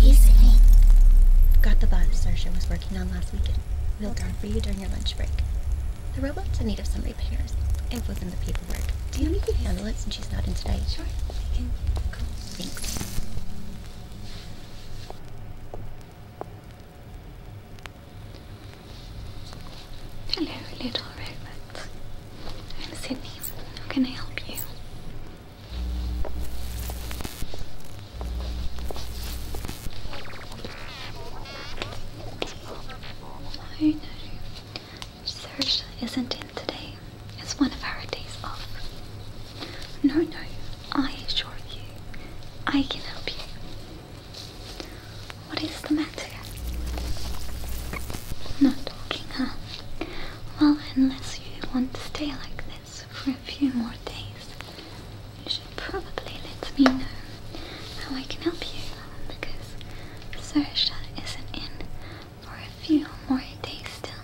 He's Easy. Got the bot Sersha was working on last weekend. We'll guard for you during your lunch break. The robot's in need of some repairs. Info's in the paperwork. Do you think you can handle it since she's not in today? Sure. Thanks. Hello, little robot. I'm Sydney. How can I help you? I know. Serge isn't in today. It's one of our days off. No, no. I assure you, I can help you. What is the matter? Not talking, huh? Well, unless you want to stay like this for a few more days, you should probably let me know how I can help you because Sersha isn't in for a few more days still.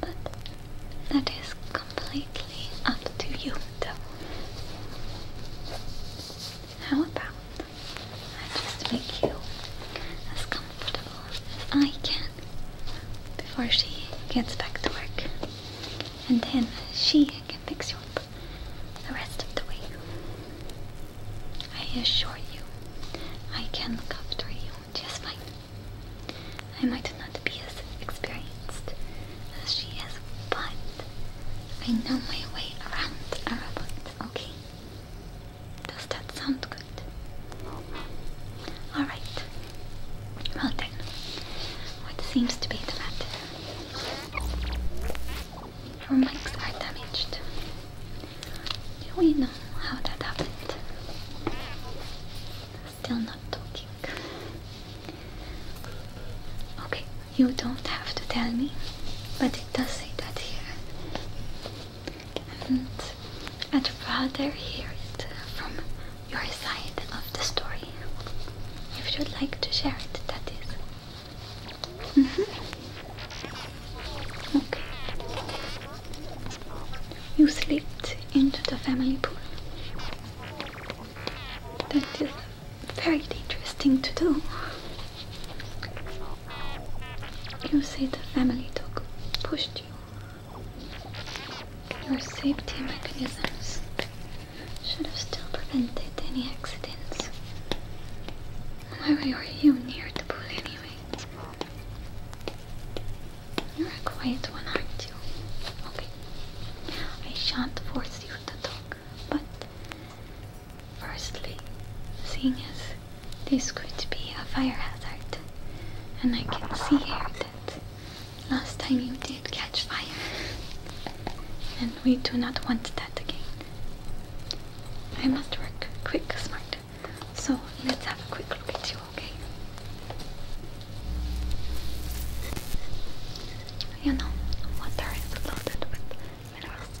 But that is completely up to you, though. How about I just make you as comfortable as I can before she gets back to work. And then she can fix you up the rest of the way. I assure you, I can look after you just fine. I might not be as experienced as she is, but I know my way around a robot, okay? Does that sound good? Alright. Well then, what seems to be the matter? Your mics are damaged. Do we know how that happened? Still not talking. Okay, you don't have to tell me, but it does say that here and I'd rather hear it from your side of the story. If you'd like to share it, that is. Mm -hmm. Okay. You slipped into the family pool. That is a very dangerous thing to do. You say the family dog pushed you. Your safety mechanisms should have still prevented any accidents. Why were you near the pool anyway? You're a quiet one, aren't you? Okay. I shan't force you to talk, but Firstly, seeing as this could be a fire hazard, and I can see here that last time you did catch fire, and we do not want that again. I must work quick, smart. So let's have a quick look at you, okay? You know, water is loaded with minerals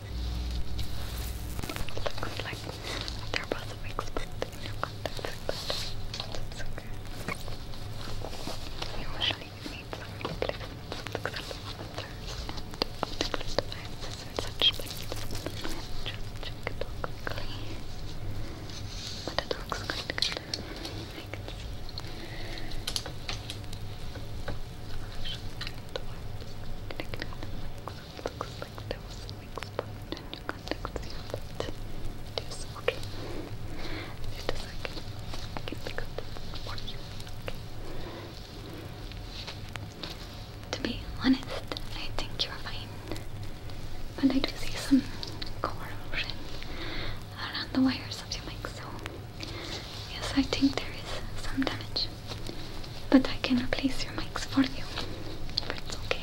Looks like there was a mix but in your contacts, but it's okay. Usually you need some replacements of the color filters and of the crystallizers and such, but just check it out quickly. But it looks quite good. I can see looks like there was a weak spot in your contacts yeah, but it is okay it is okay I can pick up for you okay to be honest, I think you're fine but I do see some corrosion around the wires of your mic so yes, I think there is some damage but I can replace your mics for you. But it's okay.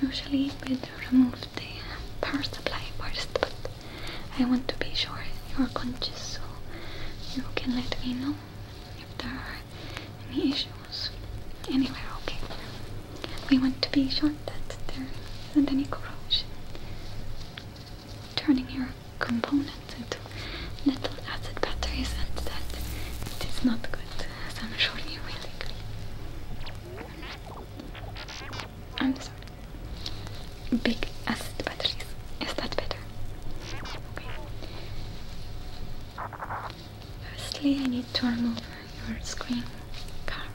Usually we remove the power supply first, but I want to be sure you're conscious, so you can let me know if there are any issues Anyway, Okay. We want to be sure that there isn't any corrosion turning your more components into little acid batteries and that it is not good, as I'm sure you will agree. I'm sorry. Big acid batteries. Is that better? Okay. Firstly, I need to remove your screen cover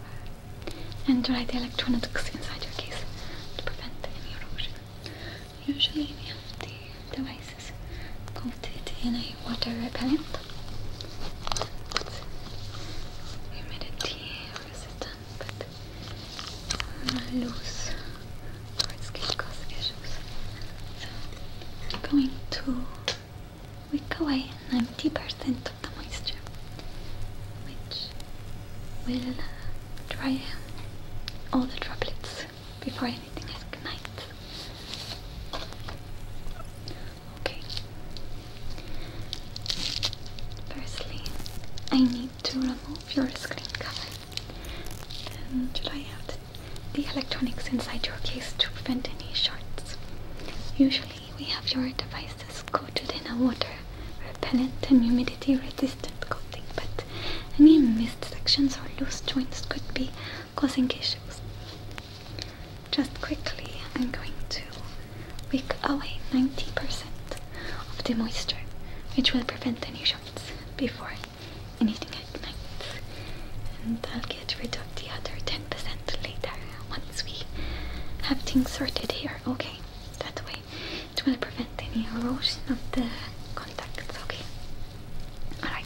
and dry the electronics inside your case to prevent any erosion. Usually we have the devices coated in a water repellent humidity resistant but loose or it's going to cause I'm going to wick away 90% of the moisture which will dry all the droplets before anything else, good night. Okay. Firstly, I need to remove your screen cover. Then dry out the electronics inside your case to prevent any shorts. Usually, we have your devices coated in a water repellent and humidity resistant coating, but any missed sections or loose joints could be causing issues. Just quickly, I'm going to wick away 90% of the moisture, which will prevent any shocks before anything happens. And I'll get rid of the other 10% later once we have things sorted here, okay? That way it to prevent any erosion of the contacts, okay? Alright.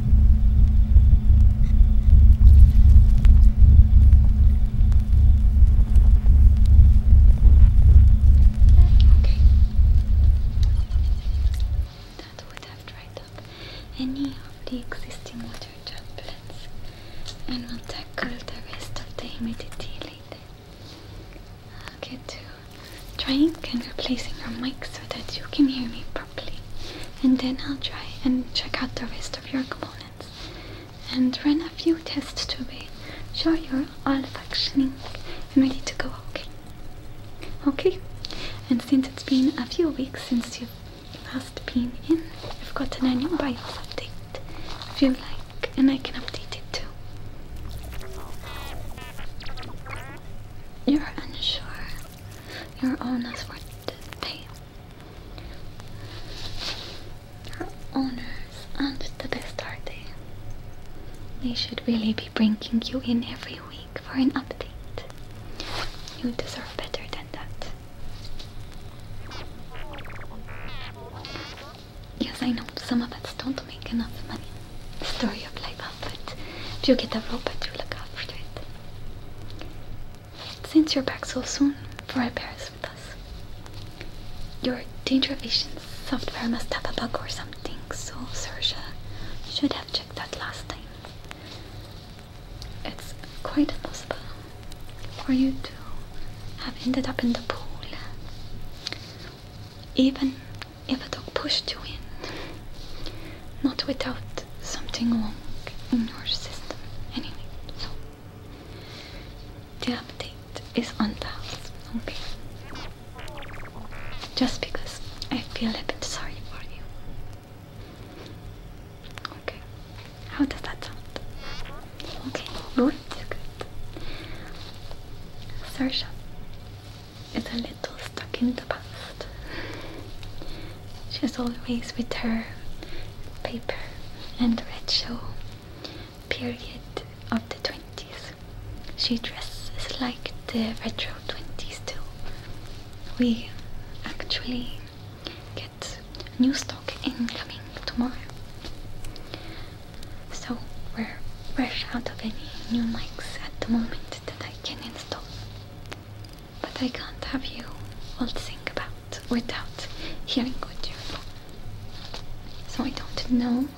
Okay. That would have dried up any of the existing water droplets, and we'll tackle the rest of the humidity later. Okay, will trying and replacing your mic so that you can hear me properly. And then I'll try and check out the rest of your components and run a few tests to be sure you're all functioning and ready to go okay. Okay? And since it's been a few weeks since you've last been in, I've got an new update if you like, and I can update it too. You're unsure. Your owners were they your owners aren't the best are They should really be bringing you in every week for an update. You deserve better than that. Yes, I know some of us don't make enough money story of life, Velvet. If you get a robot, you look after it. Since you're back so soon for repairs with us, your Danger Vision software must have a bug or something, so Sersha should have checked that last time. It's quite impossible for you to have ended up in the pool, even if a dog pushed you in, not without something wrong in your system. Anyway, so the update is on pause, okay? Just because I feel a bit sorry for you. Okay, how does that sound? Okay, good, good. Search up is a little stuck in the past. She's always with her paper and red show period of the 20s. She dresses like the retro 20s too. We actually get new stock incoming tomorrow. So we're fresh out of any new mics at the moment that I can install. But I can't have you all think about without hearing what you want. So I don't know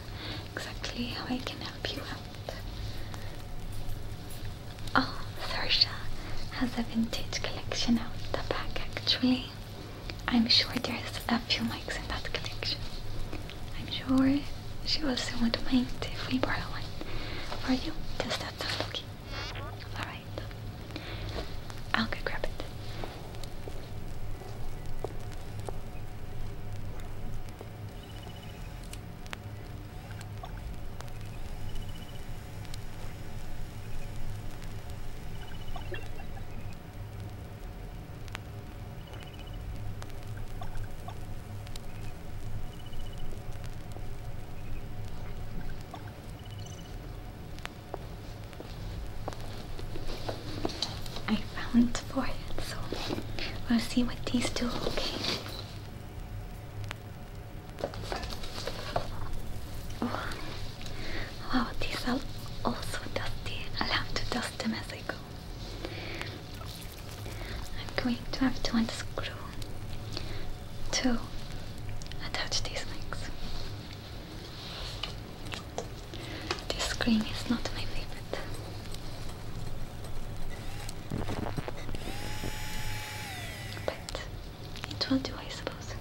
exactly how I can help you out. Oh, Thursha has a vintage collection out the back actually. I'm sure there's a few mics in that collection. I'm sure she will soon paint if we borrow one for you, just outside, okay? Alright, I'll go grab it. I found four. it, so we'll see what these do, okay? Wow, these are also dusty. I'll to dust them as I go. I'm going to have to unscrew to attach these legs. This screen is not my favorite. But it will do, I suppose.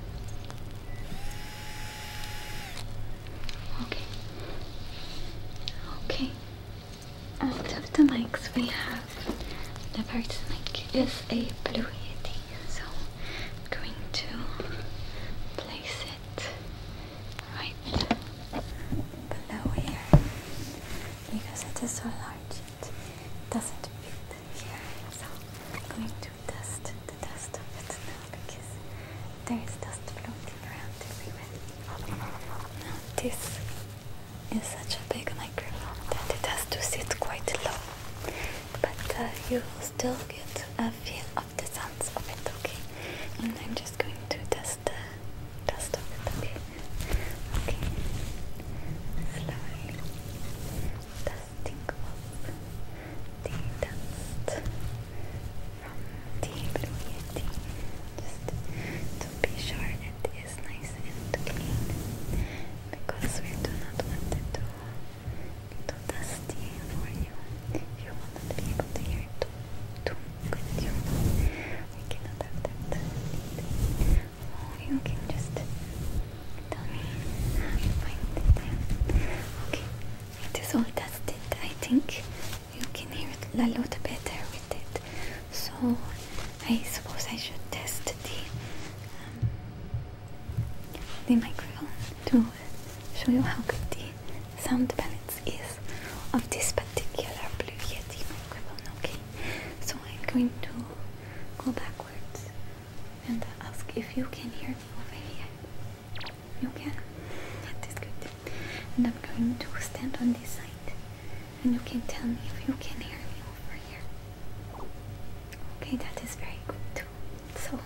Okay. Okay out of the mics we have the first mic is a blue yeti so I'm going to place it right below here because it is so large it doesn't fit here so I'm going to dust the dust of it now because there is dust floating around everywhere now this is such a big microphone that it has to sit quite low, but uh, you will still get a feel of the sounds of it, okay? And I'm just going to test the test of it, okay? Okay, slowly dusting the dust from the blue yeti just to be sure is nice and clean because we do not want it to too dusty for you. You will not be able to hear it too, too good. You. We cannot have that. Oh, you can just tell me how you find it. Okay, it is all dusted. I think you can hear it a lot better so I suppose I should test the um, the microphone to show you how good the sound balance is of this particular Blue Yeti microphone. Okay, so I'm going to go backwards and ask if you can hear me over here. You can. That is good. And I'm going to stand on this side and you can tell me if you can hear me over here. Okay, that is very good too. So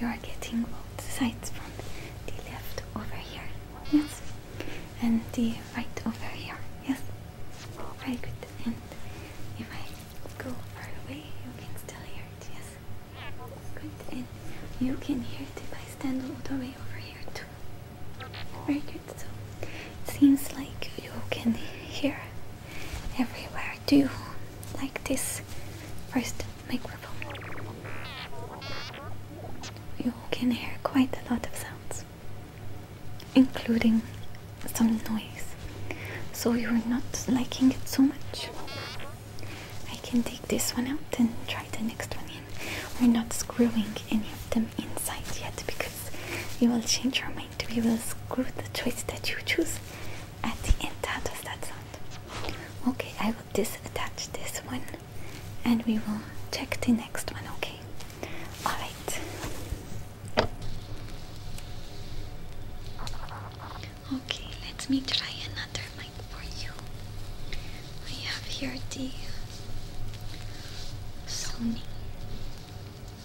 you are getting both sides from the left over here, yes, and the right over here, yes. Very good. And if I go far away, you can still hear it, yes. Good. And you can hear it if I stand all the way over here too. Very good. So it seems like you can hear everywhere. Do you like this first microphone? You can hear quite a lot of sounds, including some noise. So you're not liking it so much. I can take this one out and try the next one we're not screwing any of them inside yet because you will change your mind. We will screw the choice that you choose at the end. How does that sound? Okay, I will disattach this one and we will check the next one, okay? Alright. Okay, let me try another mic for you. I have here the Sony.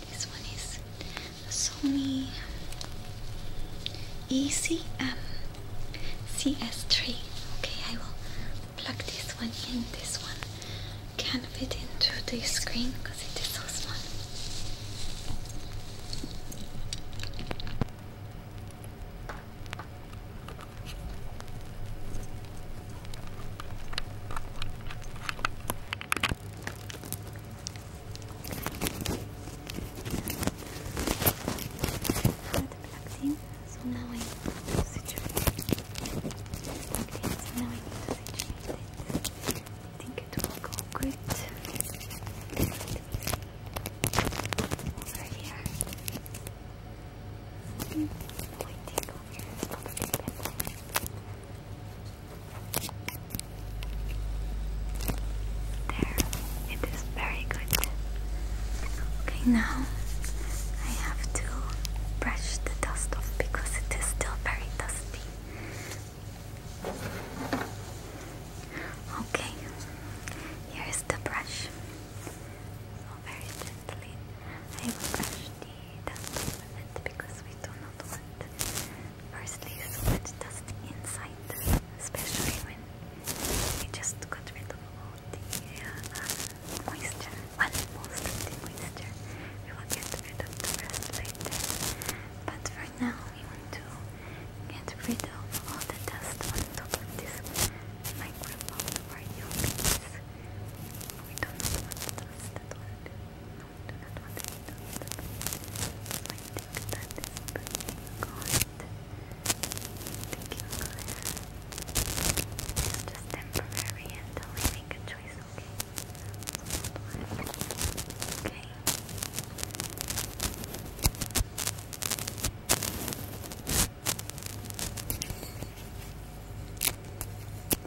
This one is Sony ECM CS3. Okay, I will plug this one in. This one can fit into the screen because it is so small plugged in, so now I need to now I need to situate I think it will go good. Over here. Hmm, I think there, it is very good. Okay, now I have to brush the dust off because it is still very dusty. Okay, here is the brush. very gently I will brush the that movement because we do not want firstly so dust inside, especially when we just got rid of all the uh, uh, moisture, well, the moisture. We will get rid of the rest later, but for now we want to get rid of all the dust on top of this microphone for your piece. We don't want those that work. No, we do not want any those that work. I think that is pretty good. Thank you, Claire. It's just temporary until we make a choice, okay? Okay. Okay,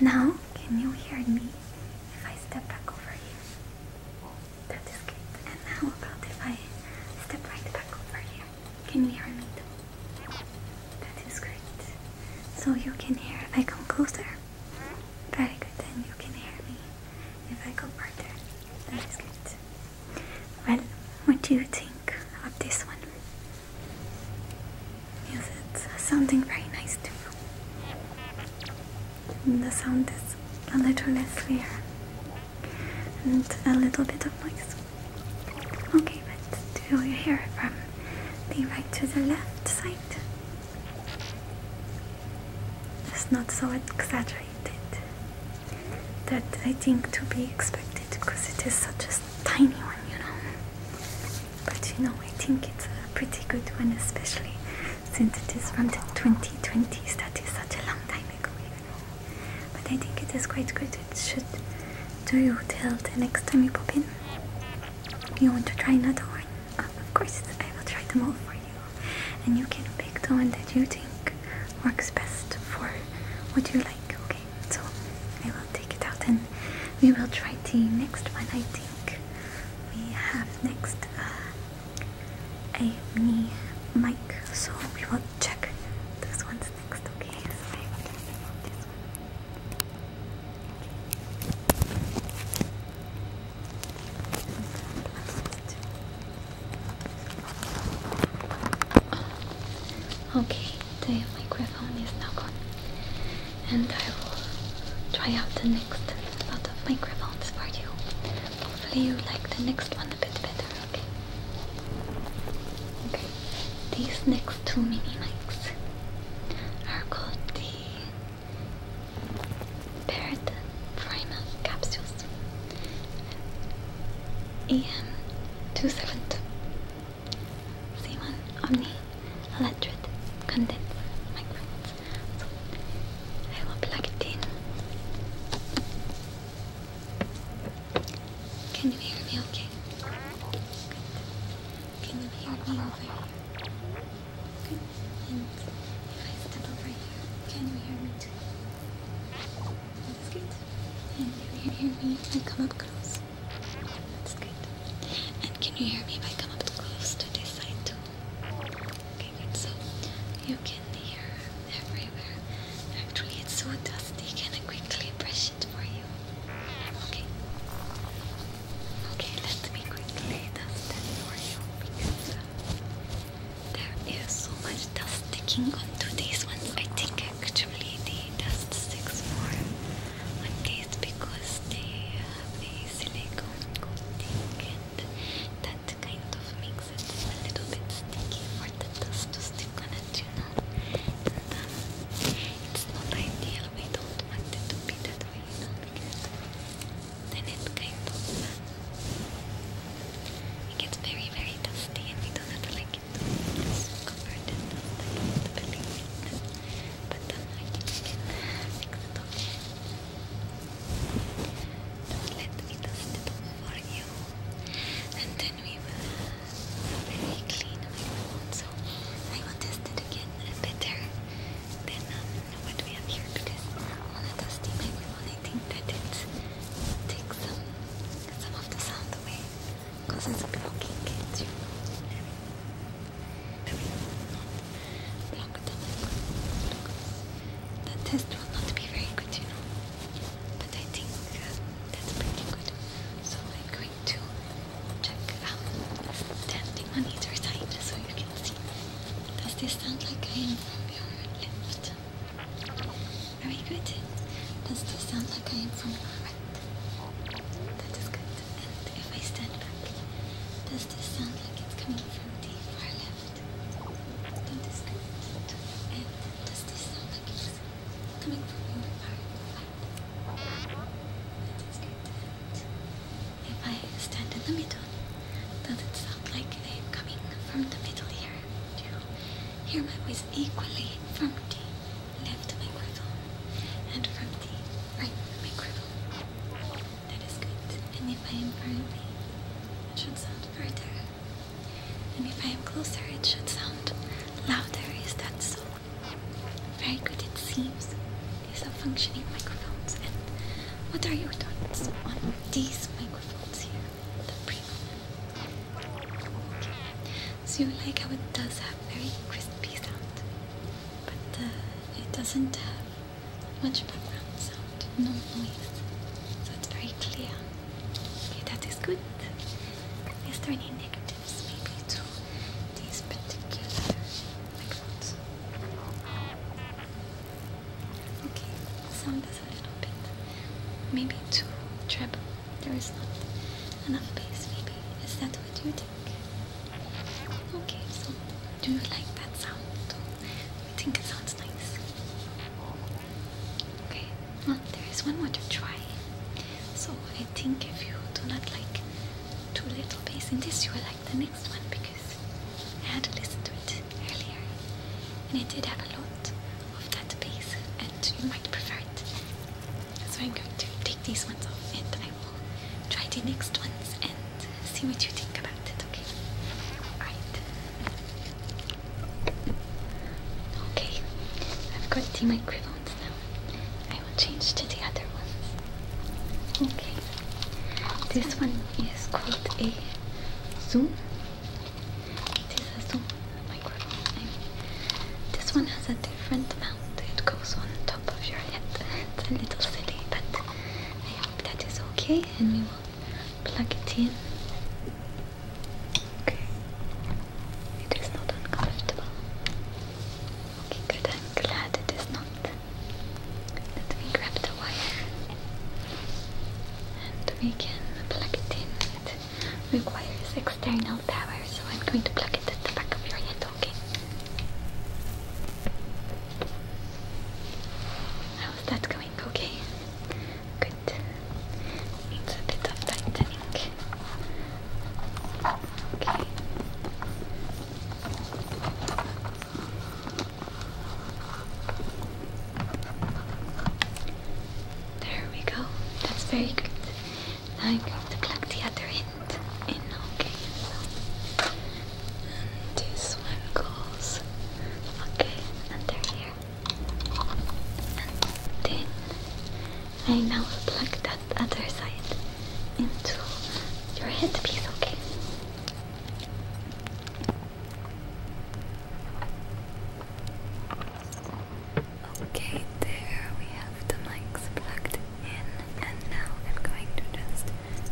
Now, can you hear me if I step back over here? That is great. And now, about if I step right back over here? Can you hear me too? That is great. So you can hear if I come closer. Very good. Then you can hear me if I go further. That is good. Well, what do you think of this one? Yes, it's sounding very nice too. the sound is a little less clear and a little bit of noise. Okay, but do you hear it from the right to the left side? It's not so exaggerated that I think to be expected because it is such a tiny one, you know but you know I think it's a pretty good one especially since it is from the 2020s that is such a long time ago you but I think it is quite good it should do you till the next time you pop in you want to try another one? of course I will try them all for you and you can pick the one that you think works best for what you like okay so I will take it out and we will try the next one I think we have next uh, a so we will check those ones next, okay? So I will just one. Okay, the microphone is now gone and I will try out the next lot of microphones for you. Hopefully you like the next one a bit better, okay? Okay, these next two mini mics are called the Parrot Capsules EM272 Zeeman Omni Electric Condense Microphones. I will plug it in. Can you hear me okay? Can you hear me over here? Good. And if I step over here, can you hear me too? That's good. And if you hear me if I come up close. That's good. And can you hear me if I come up close to this side too? Okay, So you can hear everywhere. Actually, it's so dusty. Can I quickly brush it for you? Okay. Okay, let me quickly dust for you because uh, there is so much dust sticking onto these ones. I think actually the dust sticks more on these because they silicone coating and that kind of makes it a little bit sticky for the dust to stick on it, you it's not ideal, we don't want it to be that way, then it kind of it gets very, very dusty and we do not like to cover it but then I can fix it, okay? let me dust it for you, and then we will very clean microphone. So I will test it again better than um, what we have here because on a dusty microphone, I think that it takes some some of the sound away because it's blocking it. You it's longer than I thought. The test will not be very good, you know. But I think that's pretty good. So I'm going to check um, standing on either side so you can see. Does this sound like I am from your left? Very good. Does this sound like I am from your right? That is good. And if I stand back, does crystal sound like it's coming from the far left. Don't this and does this sound like it's coming from your far right? If I stand in the middle, does it sound like i coming from the middle here? Do you hear my voice equally from the left microphone and from the right microphone? That is good. And if I am far away, it should sound further. And if I am closer, it should sound louder. Is that so? Very good, it seems. These are functioning microphones. And what are your thoughts on these microphones here? The premium. So you like how it does have very crispy sound, but uh, it doesn't have much background sound, no noise. So it's very clear. Okay, that is good. Is there any negatives maybe to these particular microphones? Okay, sound is a little bit maybe too treble. There is not enough bass maybe. Is that what you think? Okay, so do you like that sound? I think it sounds nice. Okay, well, there is one more to try. So I think if you do not like too little bass in this, you will like the next one because I had to listen to it earlier and it did have a lot of that bass and you might prefer it. So I'm going to take these ones off and then I will try the next ones and see what you think about it, okay? Alright. Okay, I've got the microphones now. I will change to the other ones. Okay, this one is called a Zoom. This a Zoom microphone. This one has a different mount, it goes on top of your head. It's a little silly, but I hope that is okay and we will plug it in. Okay. It is not uncomfortable. Okay, good. I'm glad it is not. Let me grab the wire and we can plug it in. It requires external power, so I'm going to plug it at the back of your head, talking. How's that going? Okay. Good. Needs a bit tightening. Okay. There we go. That's very good. Now I'm going to plug the other in. And this one goes okay under here. And then I now plug that other side into your headpiece, okay? Okay, there we have the mics plugged and now I'm going to just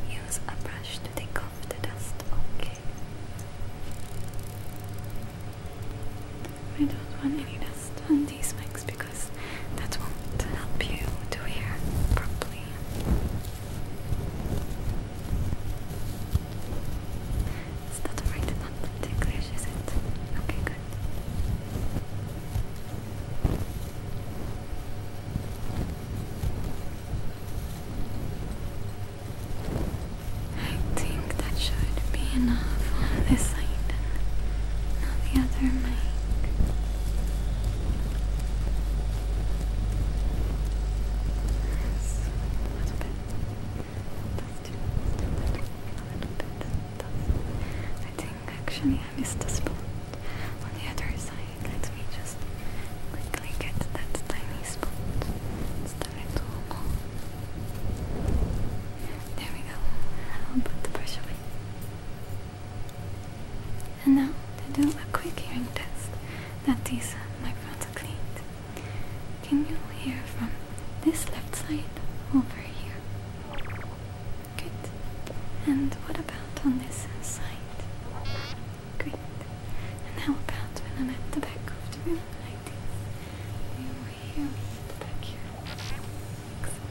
use a brush to take off the dust, okay? I don't want any dust on these mics because that won't help you to hear properly. It's not alright, not ticklish, is it? Okay, good. I think that should be enough on this side. Now the other mic. Yes, a little bit. Dusty, dusty, a little bit. I think actually I missed a spot. On the other side, let me just quickly get that tiny spot. It's the red There we go. I'll put the brush away. And now to do a quick hearing test that these microphones are clean. Can you hear from this left side over here? Good. And what about on this side? Great. And how about when I'm at the back of the room like You hear me at the back here. Excellent.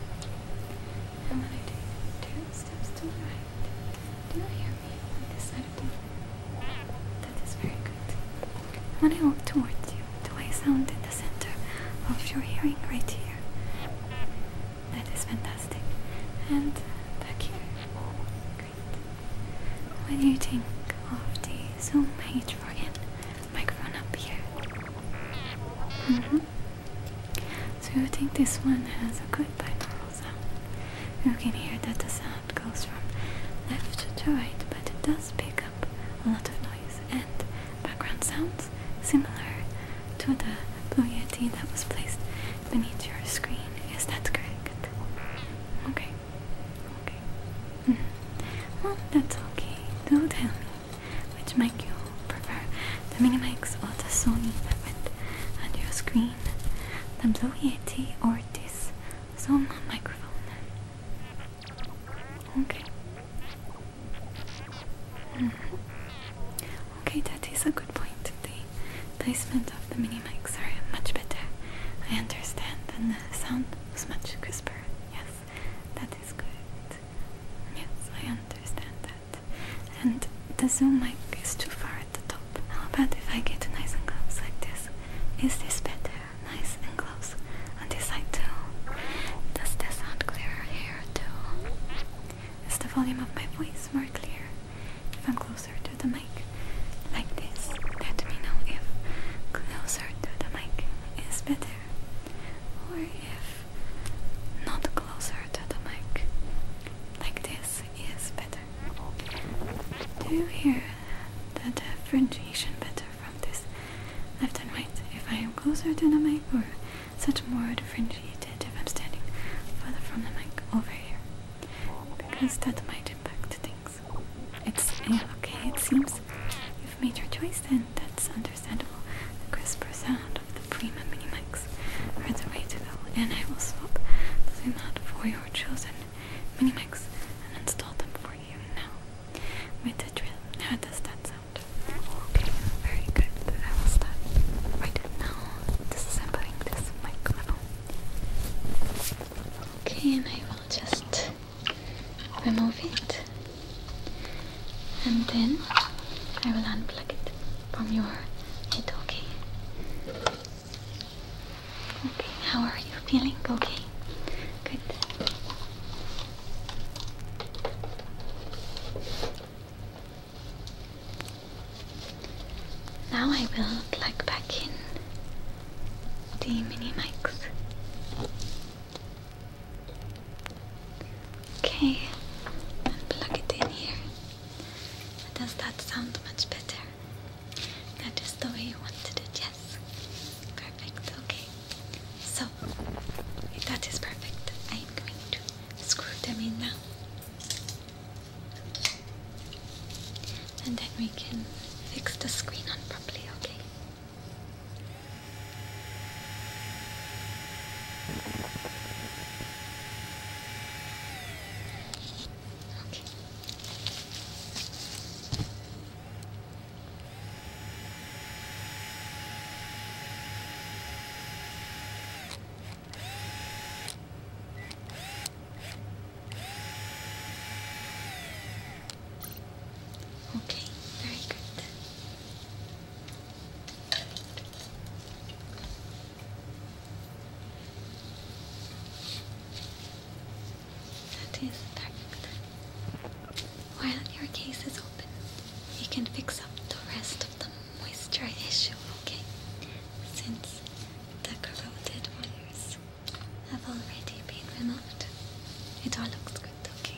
I'm gonna do two steps to the right. Do you hear me on this side of the room? That is very good. i walk towards you, the way sound in the center of your hearing right here. That is fantastic. And thank you. Great. What do you think of the zoom page for him? Microphone up here. Mm -hmm. So you think this one has a good binaural sound? You can hear that the sound goes from left to right, but it does pick up a lot of noise and background sounds similar to the blue yeti that was placed beneath your screen. Is that correct? Okay. Okay. Mm -hmm. Well, that's okay. Do tell me which mic you prefer. The mini mics or the Sony that went on your screen. The blue yeti or this Zoom microphone. Okay. Mm -hmm. Okay, that is a good point. The placement of the mini mics are much better. I understand, and the sound was much crisper. Yes, that is good. Yes, I understand that. And the zoom mic is too far at the top. How about if I get nice and close like this? Is this better? Nice and close. On this side too. Does this sound clearer here too? Is the volume of my voice more clear? If I'm closer to the mic, like this, let me know if closer to the mic is better, or if not closer to the mic, like this is better. Do you hear the differentiation better from this left and right? If I am closer to the mic, or such more differentiation? irritated if I'm standing further from the mic over here because that might impact things. It's okay, it seems you've made your choice Then that's understandable. The crisper sound of the premium mini mics are the way to go, and I will swap the amount for your chosen mini mics and install them for you now with the drill. How does that sound? Okay, very good. I will stop right now. Disassemble this microphone. Okay, and I will just remove it and then I will unplug it from your head, okay? Okay, how are you feeling? Okay, good. Now I will plug back in the mini mics. Okay, and plug it in here. Does that sound much better? That is the way you wanted it, yes. Perfect, okay. So, that is perfect. I am going to screw them in now and then we can fix the screen on properly, okay? Okay. Okay, very good. That is perfect. While your case is open, you can fix up the rest of them moisture issue, okay? Since the corroded wires have already been removed. It all looks good, okay?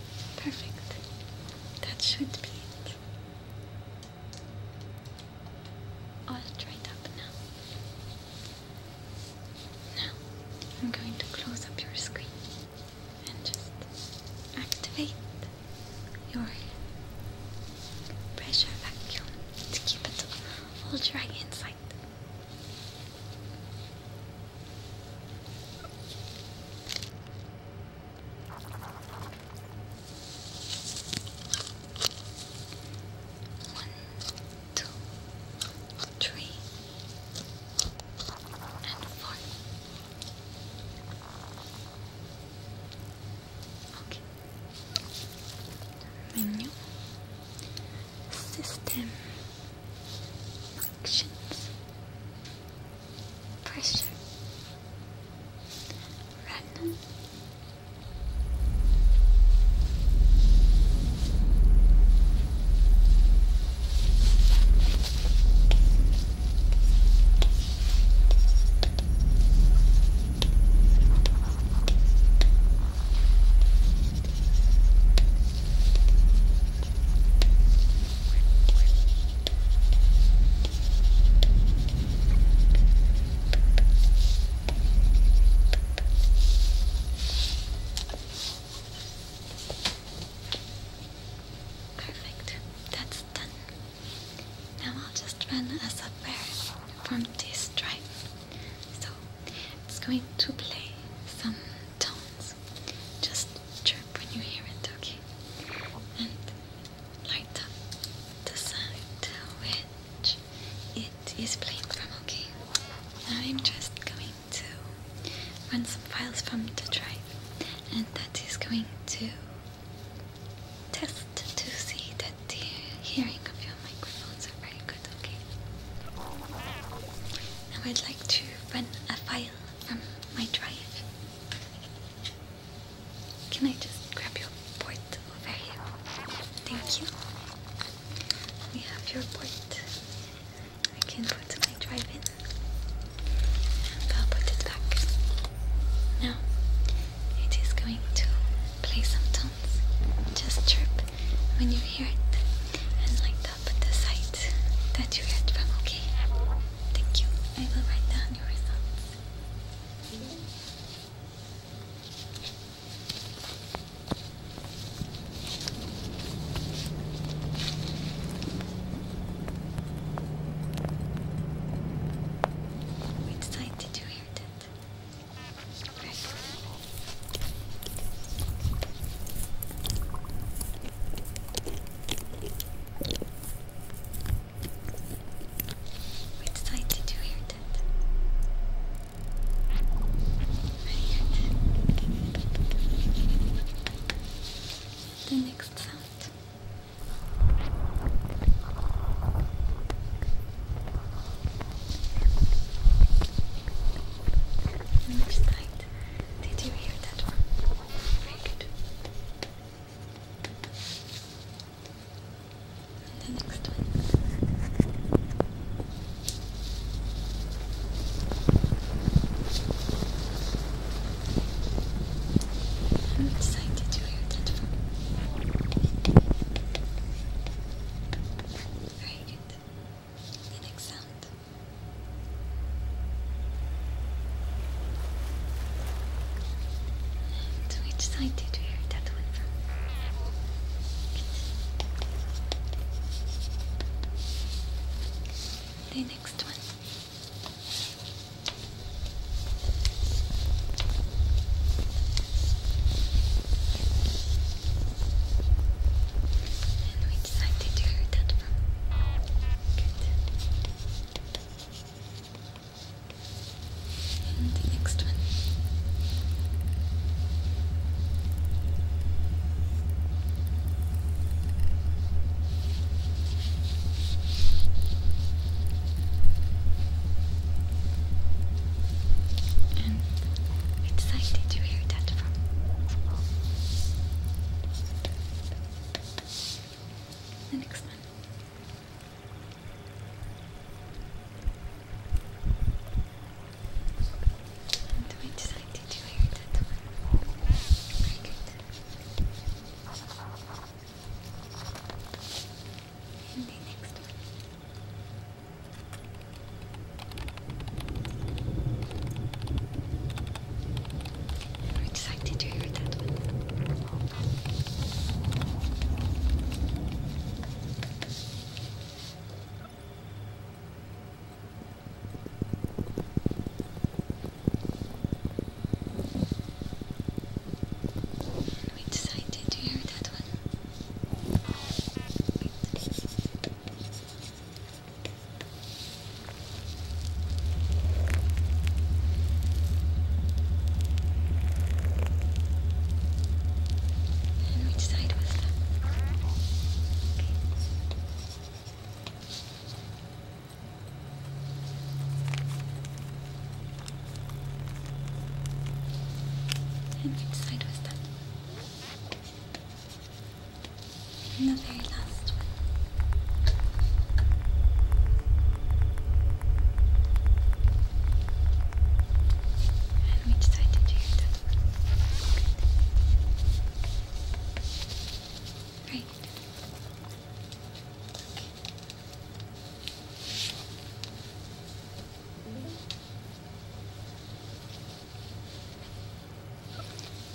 Perfect. That should be it. All dried up now. Now, I'm going to close up your screen and just activate your pressure vacuum to keep it all dry inside. One, two, three, and four. Okay. Menu. System. Actions pressure, run. Perfect. That's done. Now I'll just run a software from this drive. So it's going to play some tones. Just chirp when you hear it, okay? And light up the side to which it is playing okay? Now I'm just going to run some files from the drive, and that is going to test to see that the hearing of your microphones are very good, okay? Now I'd like to run a file um, my drive. Can I just grab your port over here? Thank you. We have your port. I can put my drive in. I'll put it back. Now, it is going to play some tones. Just chirp when you hear it. And like the the site that you read from, okay? Thank you. I will write down your results. Which side did you hear that? Which side to do hear that? The next sound. Which side? Did you hear that one? Very good. And the next one. I'm excited to hear that from Very good. next sound which side did you hear that The next one excited to hear that from. Good. And the next one. And excited to hear that from. The next one. do we decide to do here Very good. the next you're excited to hear that one. Oh, no. to hear that one. And which side was that? And the very last one. And we decided to do that one. Good.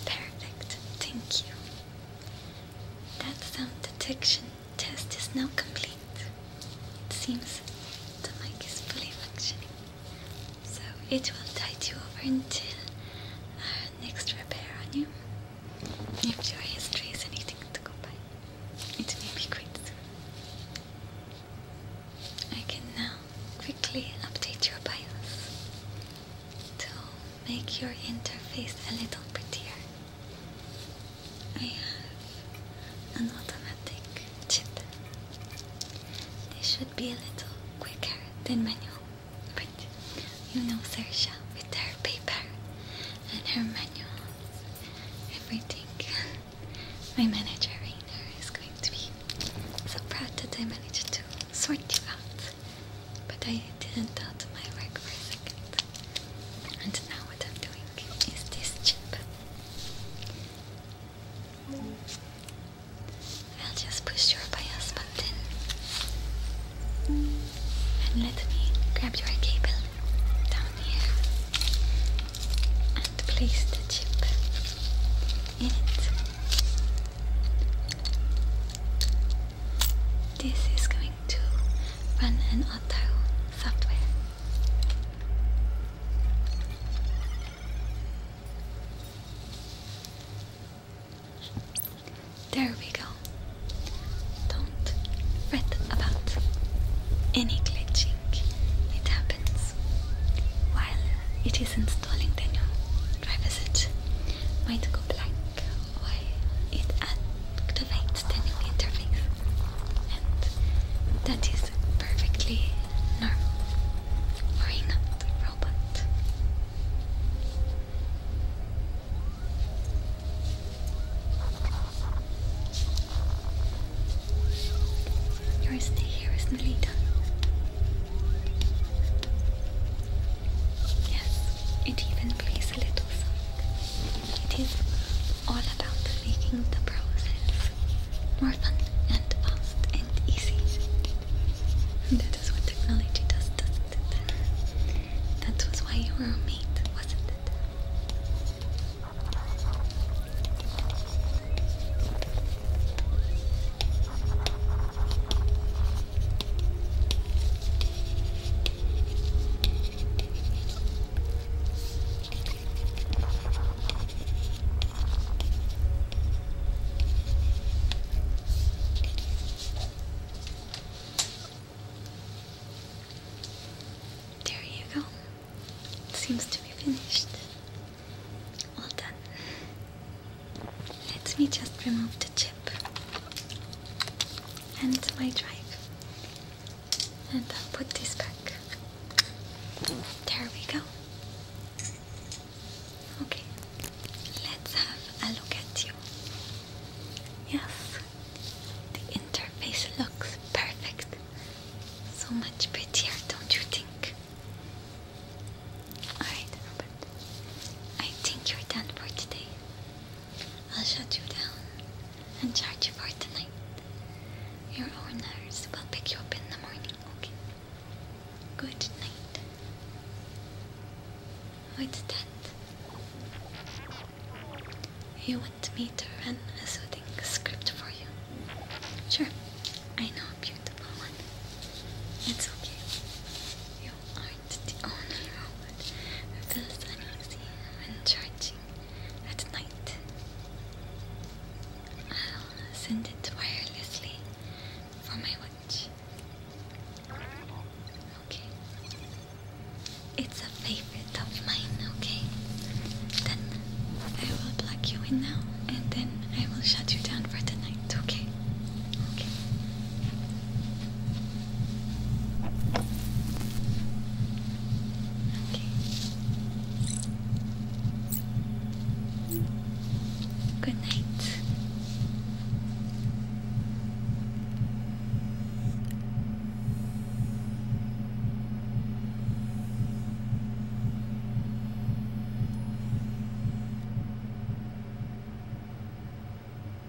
Perfect, thank you. That sound detection test is now complete. It seems the mic is fully functioning. So it will tide you over until our next repair on you. If your history is anything to go by, it may be quite soon. I can now quickly update your BIOS to make your interface a little prettier. I have an automatic cheater. This should be a little quicker than manual, but you know Sersha with her paper and her manual, everything. My manager Rainer is going to be so proud that I managed to sort it out. But I didn't doubt my work for a second. And now what I'm doing is this chip. I'll just push your bias button. And let me grab your cable down here. And place the chip in it. This is going to run an auto software. There we go. Don't fret about any glitching. It happens while it is installing the new driver set. Might go blank why it activates the new interface, and that is perfectly normal for a not robot. Your stay here is nearly done. Yes, it even plays a little song. It is all about making the process more fun and fast and easy. That is what technology does, doesn't it? That was why you were made, wasn't it? There you go. Seems to be finished. All done. Let me just remove the chip and my drive, and I'll put this back. There we go. Okay, let's have a look at you. Yes, the interface looks perfect. So much prettier, don't you think? Alright, Robert. I think you're done for today. I'll shut you down and charge you for tonight. Your owners will pick you up in the morning, okay? Good night. What's that? You want me to run a soothing script for you? Sure, I know a beautiful one. It's okay. You are it's the only robot who feels uneasy when charging at night. I'll send it wirelessly for my watch. Okay. It's a favorite of mine, okay? Then I will plug you in now and then I will shut you down for the night. It's Okay. Okay. Okay. Good night.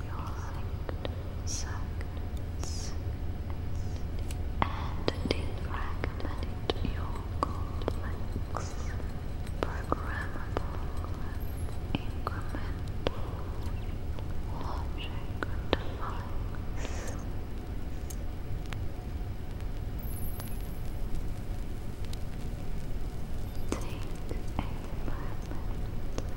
we all and defragment your complex programmable incremental logic Take a moment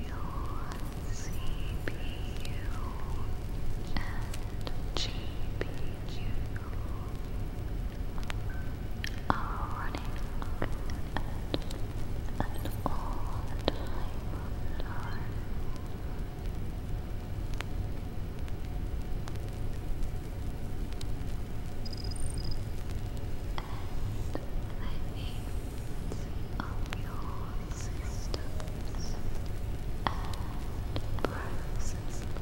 Your CPU and GPU are running at an all-time of your systems and processes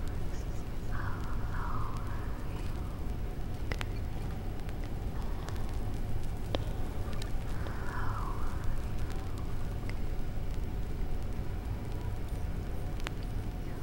are lowering and lowering. You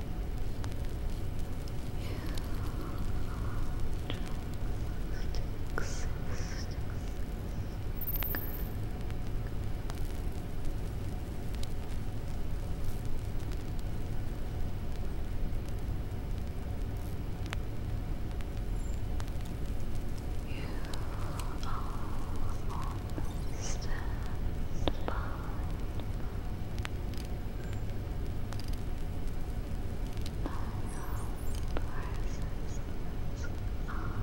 just exist. You all stand by are taking place. You just all Relax.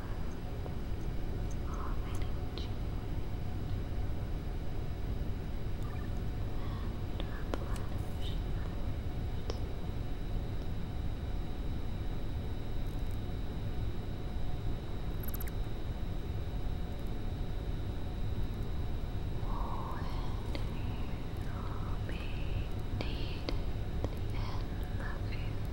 of energy and replenishment. Would you be needed in the future?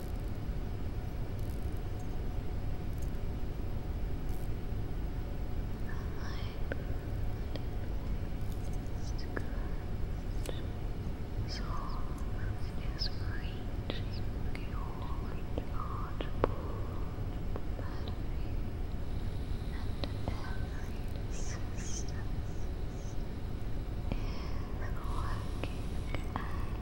So is reaching your rechargeable battery and every system is working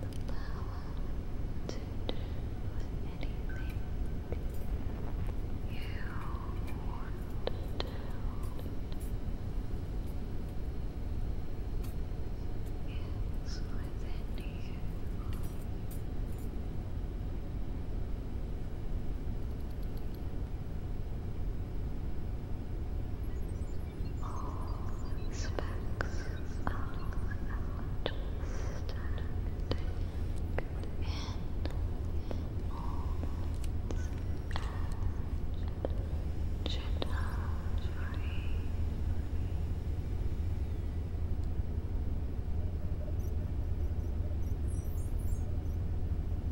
The power to do anything you want to do. It's within You all specs of understanding in moments and jittery. All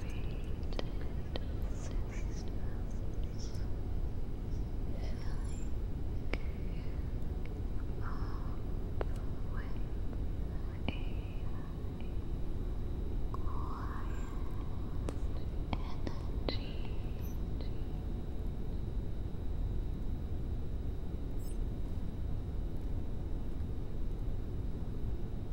created systems filling up with a quiet energy. Energy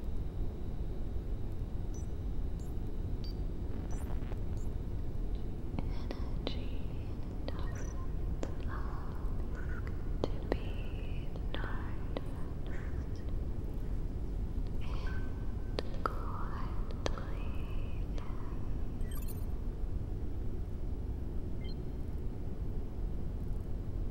doesn't allow to be noticed. It quietly is.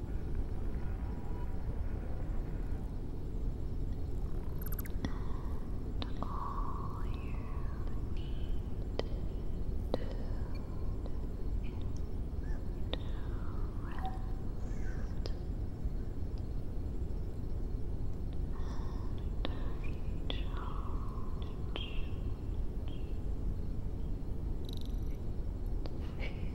And all you need to do is rest and recharge.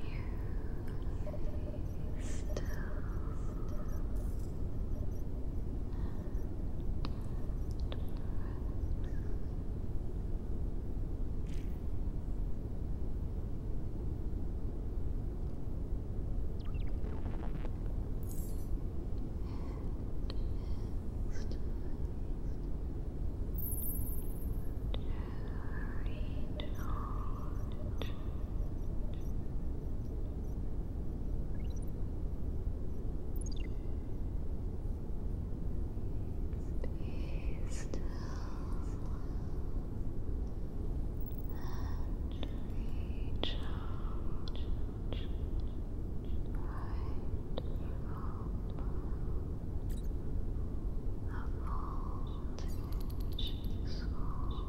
you still and Read knowledge. Be still and recharge right of voltage source. Recharging.